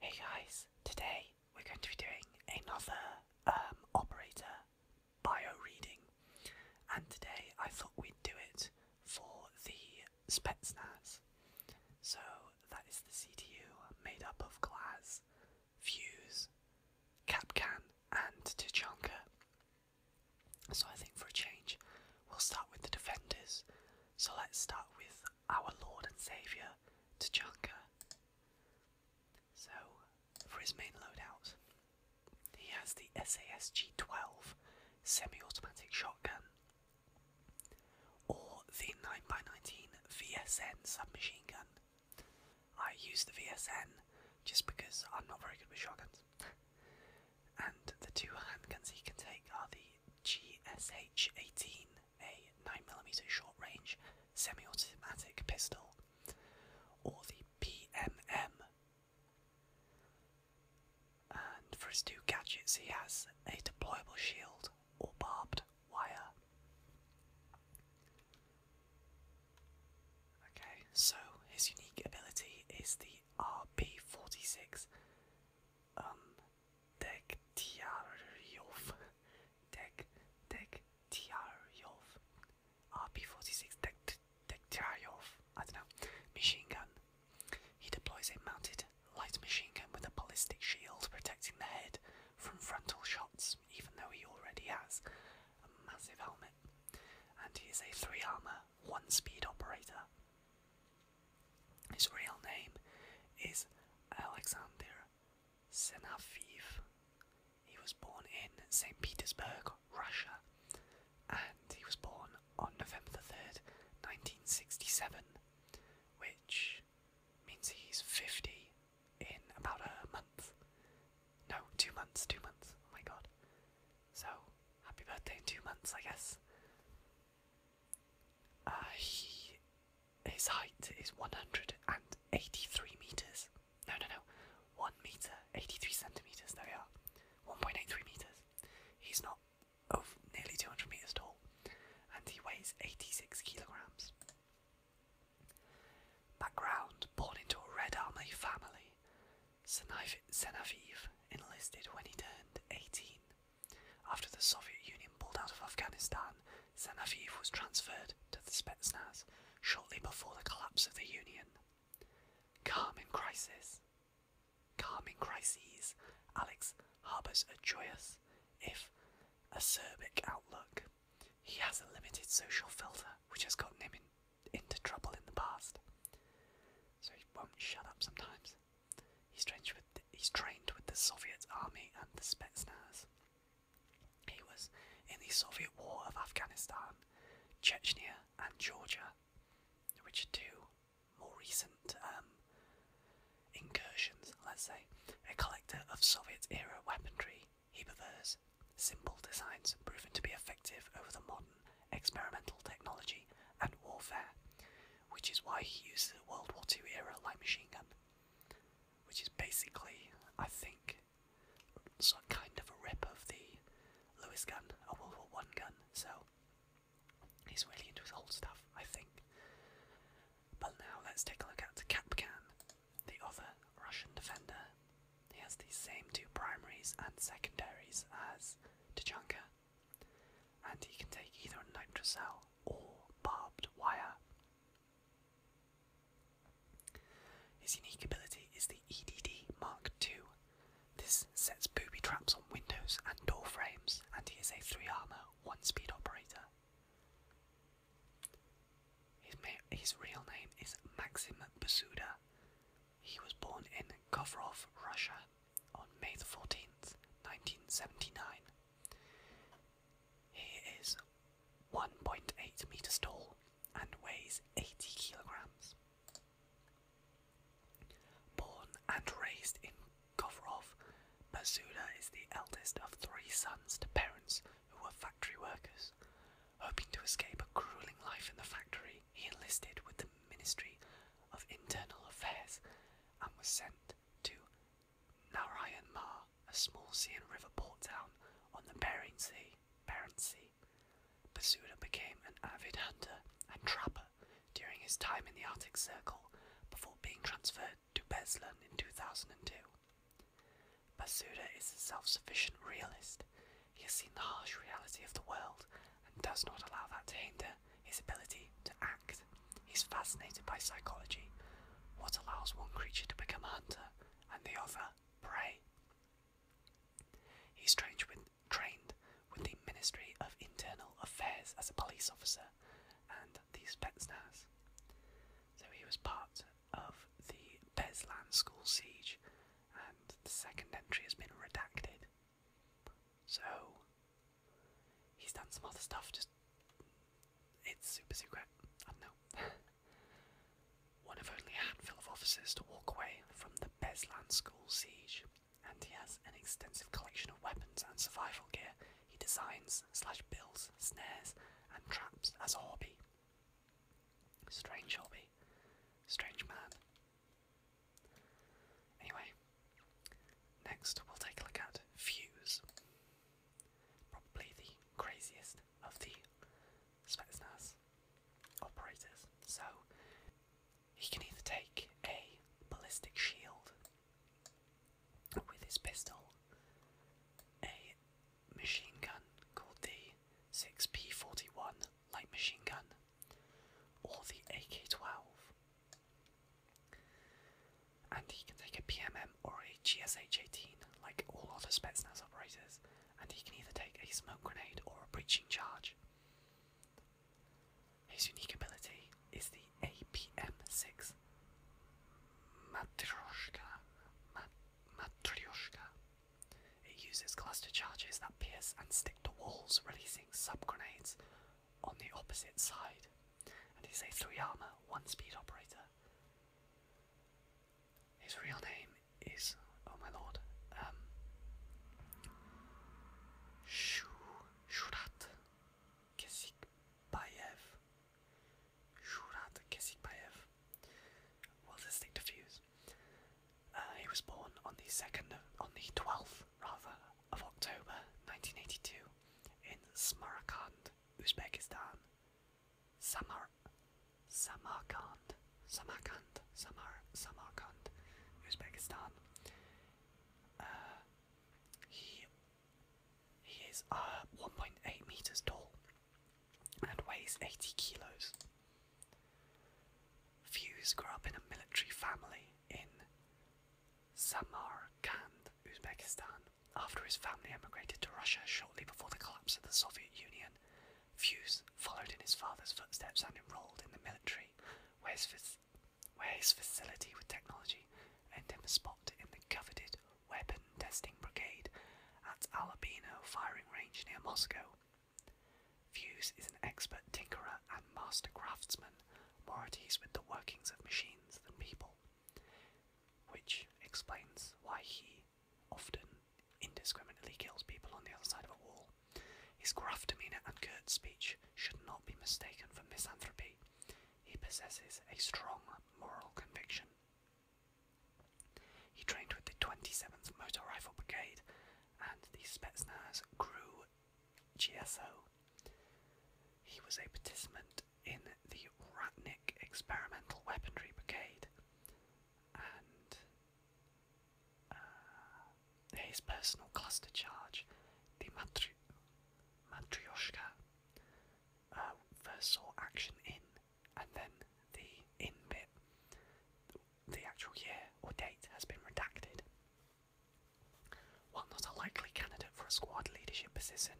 Hey guys, today we're going to be doing another um, operator bio reading, and today I thought we'd do it for the Spetsnaz. So that is the CTU made up of Glaz, Fuse, Capcan, and Tuchanka. So I think for a change, we'll start with the defenders. So let's start with our Lord and Saviour T'Chaka. So, for his main loadout, he has the SAS G12 semi automatic shotgun or the 9x19 VSN submachine gun. I use the VSN just because I'm not very good with shotguns. and the two handguns he can take are the GSH-18, a 9mm short-range semi-automatic pistol, or the PMM. And for his two gadgets, he has a deployable shield or barbed wire. Okay, so his unique ability is the RP46 Dekhtyaryov. Dek Dekhtyaryov. RP-46 Dek Dekhtyaryov. I don't know. Machine gun. He deploys a mounted light machine gun with a ballistic shield protecting the head from frontal shots, even though he already has a massive helmet. And he is a three armor, one speed operator. His real name is Alexander Senafiev. He was born in St. Petersburg, Russia, and he was born on November the 3rd, 1967, which means he's 50 in about a month. No, two months, two months. Oh my god. So, happy birthday in two months, I guess. Uh, he, his height is 183 meters. No, no, no. 1 meter, 83 centimeters. There we are. 1.83 meters. He's not of nearly 200 meters tall. And he weighs 86 kilograms. Background born into a Red Army family. Senaviv enlisted when he turned 18 after the Soviet Union pulled out of Afghanistan, Zenaviv was transferred to the Spetsnaz shortly before the collapse of the Union. Calm in crisis. Calm in crises, Alex harbours a joyous, if acerbic, outlook. He has a limited social filter, which has gotten him into trouble in the past. So he won't shut up sometimes. He's trained with the, he's trained with the Soviet army and the Spetsnaz. He was in the Soviet War of Afghanistan, Chechnya, and Georgia, which are two more recent um, incursions, let's say. A collector of Soviet era weaponry, he prefers simple designs proven to be effective over the modern experimental technology and warfare, which is why he uses a World War II era light machine gun, which is basically, I think, sort kind of a rip of the Lewis gun, a World War I gun. So he's really into his old stuff, I think. But now let's take a look at the Kapkan, the other Russian defender. He has the same two primaries and secondaries as Tachanka, and he can take either a nitrocell or barbed wire. His unique ability is the EDD Mark II. This sets booby traps on windows and door frames, and he is a 3 armor, 1 speed operator. His, real name is Maxim Basuda. He was born in Kovrov, Russia on May the 14th, 1979. He is 1.8 meters tall and weighs 80 kilograms. Born and raised in Kovrov, Mazula is the eldest of three sons to parents who were factory workers. Hoping to escape a grueling life in the factory, he enlisted with the Ministry of Internal Affairs and was sent to Narayanmar, a small sea and river port town on the Bering Sea. Bering sea. Basuda became an avid hunter and trapper during his time in the Arctic Circle before being transferred to Beslan in 2002. Basuda is a self sufficient realist he has seen the harsh reality of the world and does not allow that to hinder his ability to act. He's fascinated by psychology, what allows one creature to become a hunter and the other prey. He's trained with, trained with the Ministry of Internal Affairs as a police officer and the Spetsnaz. So he was part of the Beslan school siege, and the second entry has been redacted. So he's done some other stuff, just it's super secret. I know. One of only handful of officers to walk away from the Beslan school siege, and he has an extensive collection of weapons and survival gear he designs, slash builds, snares, and traps as a hobby. Strange hobby. Strange man. Anyway, next we'll take a look at Fuse. Probably the craziest of the Spetsnaz operators. So, he can either take a ballistic shield with his pistol, a machine gun called the 6P41 like machine gun or the AK-12. And he can take a PMM or a GSH-18 like all other Spetsnaz operators and he can either take a smoke grenade or a breaching charge. His unique ability is the APM-6 Matryoshka, Mat Matryoshka it uses cluster charges that pierce and stick to walls, releasing sub grenades on the opposite side. And he's a 3 armor, 1 speed operator. His real name is. Oh my lord. Um. Shurat Kesikbayev. Shurat Kesikbayev. Well, let's diffuse. Uh, he was born on the second, on the twelfth rather, of October 1982 in Samarkand, Uzbekistan. Samar, Samarkand, Samarkand, Samar, Samarkand, Uzbekistan. Uh, he he is uh, 1.8 meters tall and weighs 80 kilos. Fuse grew up in a military family in Samarkand, Uzbekistan. After his family emigrated to Russia shortly before the collapse of the Soviet Union, Fuse followed in his father's footsteps and enrolled in the military, where his, where his facility with technology earned him a spot in the coveted Weapon Testing Brigade at Alabino Firing Range near Moscow. Fuse is an expert tinkerer and master craftsman, more at ease with the workings of machines than people, which explains why he often indiscriminately kills people on the other side of a wall. His gruff demeanour and curt speech should not be mistaken for misanthropy. He possesses a strong moral conviction. He trained with the 27th Motor Rifle Brigade and the Spetsnaz Crew GSO. He was a participant in the Ratnik Experimental Weaponry Brigade, and uh, his personal cluster charge, the Matryoshka, uh, first saw action in, and then the Inbit. The actual year or date has been redacted. While not a likely candidate for a squad leadership position,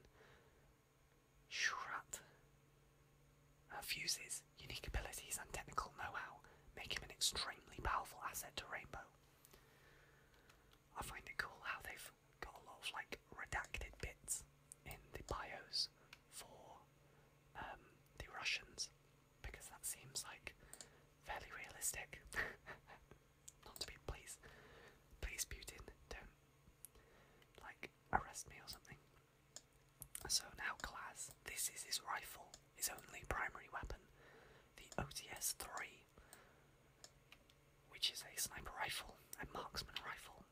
Shurat uh, fuses unique abilities and technical know-how, make him an extremely powerful asset to Rainbow. I find it cool how they've got a lot of like redacted bits in the bios for um, the Russians because that seems like fairly realistic. Not to be, please, please, Putin, don't like arrest me or something. So now, Klas, this is his rifle, his only primary weapon, the OTS 3, which is a sniper rifle, a marksman rifle.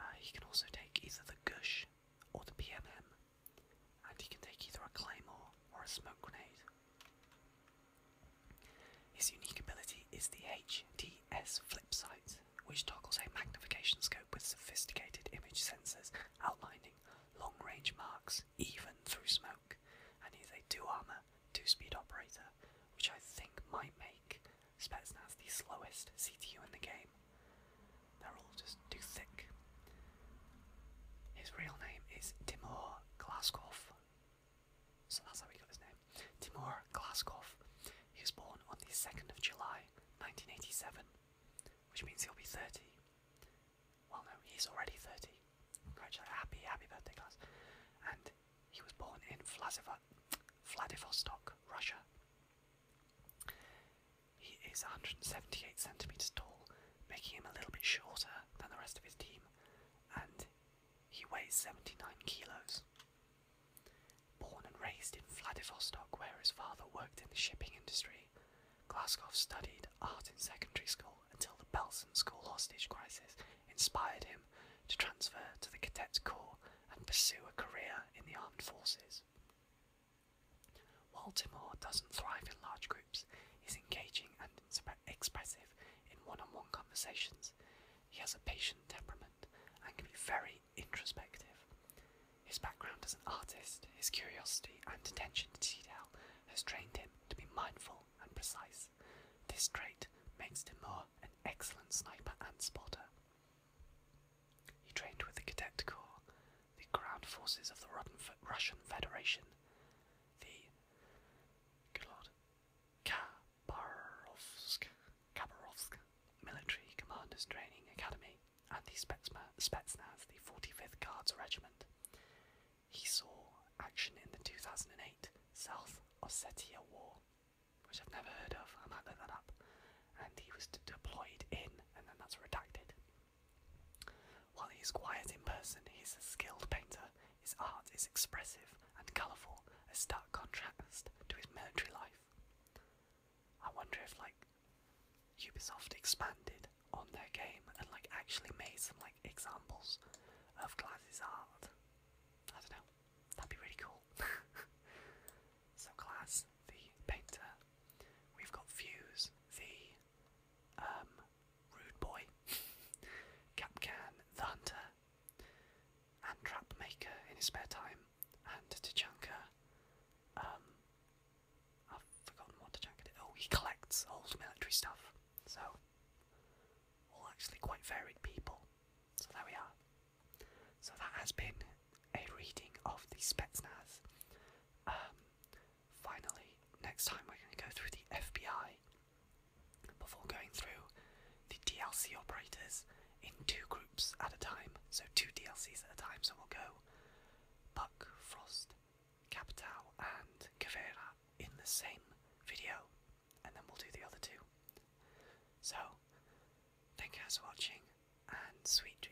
Uh, he can also take either the Gush or the PMM, and he can take either a claymore or a smoke grenade. His unique ability is the HDS flip sight, which toggles a magnification scope with sophisticated image sensors outlining long range marks even through smoke, and he's a 2 armor, 2 speed operator, which I think might make Spetsnaz the slowest CTU in the game. They're all just too thick. His real name is Timur Glaskov. So that's how he got his name. Timur Glaskov. He was born on the 2nd of July 1987, which means he'll be 30. Well, no, he's already 30. Congratulations, happy, happy birthday, class. And he was born in Vladivostok, Russia. He is 178 centimeters tall, making him a little bit shorter than the rest of his team, and he weighs 79 kilos. Born and raised in Vladivostok, where his father worked in the shipping industry, Glaskov studied art in secondary school until the Belson School hostage crisis inspired him to transfer to the Cadet Corps and pursue a career in the armed forces. While Timur doesn't thrive in large groups, he's engaging and expressive in one on one conversations. He has a patient temperament and can be very introspective. His background as an artist, his curiosity and attention to detail has trained him to be mindful and precise. This trait makes Timur an excellent sniper and spotter. He trained with the Cadet Corps, the ground forces of the Russian Federation, the Khabarovsk Military Commanders Training Academy, and the Spetsnaz, the 45th Guards Regiment. He saw action in the 2008 South Ossetia War which I've never heard of, I might look that up. And he was deployed in, and then that's redacted. While he's quiet in person, he's a skilled painter. His art is expressive and colourful, a stark contrast to his military life. I wonder if like Ubisoft expanded on their game and like actually made some like examples of Gladys art. I don't know. That'd be really cool. so class, the painter. We've got Fuse, the um, rude boy. Capcan, the hunter. And trap maker in his spare time. And Tachanka, um, I've forgotten what Tachanka did. Oh, he collects old military stuff. So, all actually quite varied people. So there we are. So that has been a reading of the Spetsnaz. Um, finally, next time we're going to go through the FBI before going through the DLC operators in two groups at a time. So two DLCs at a time. So we'll go Buck, Frost, Capitao, and Cavera in the same video and then we'll do the other two. So, thank you guys for watching, and sweet dreams.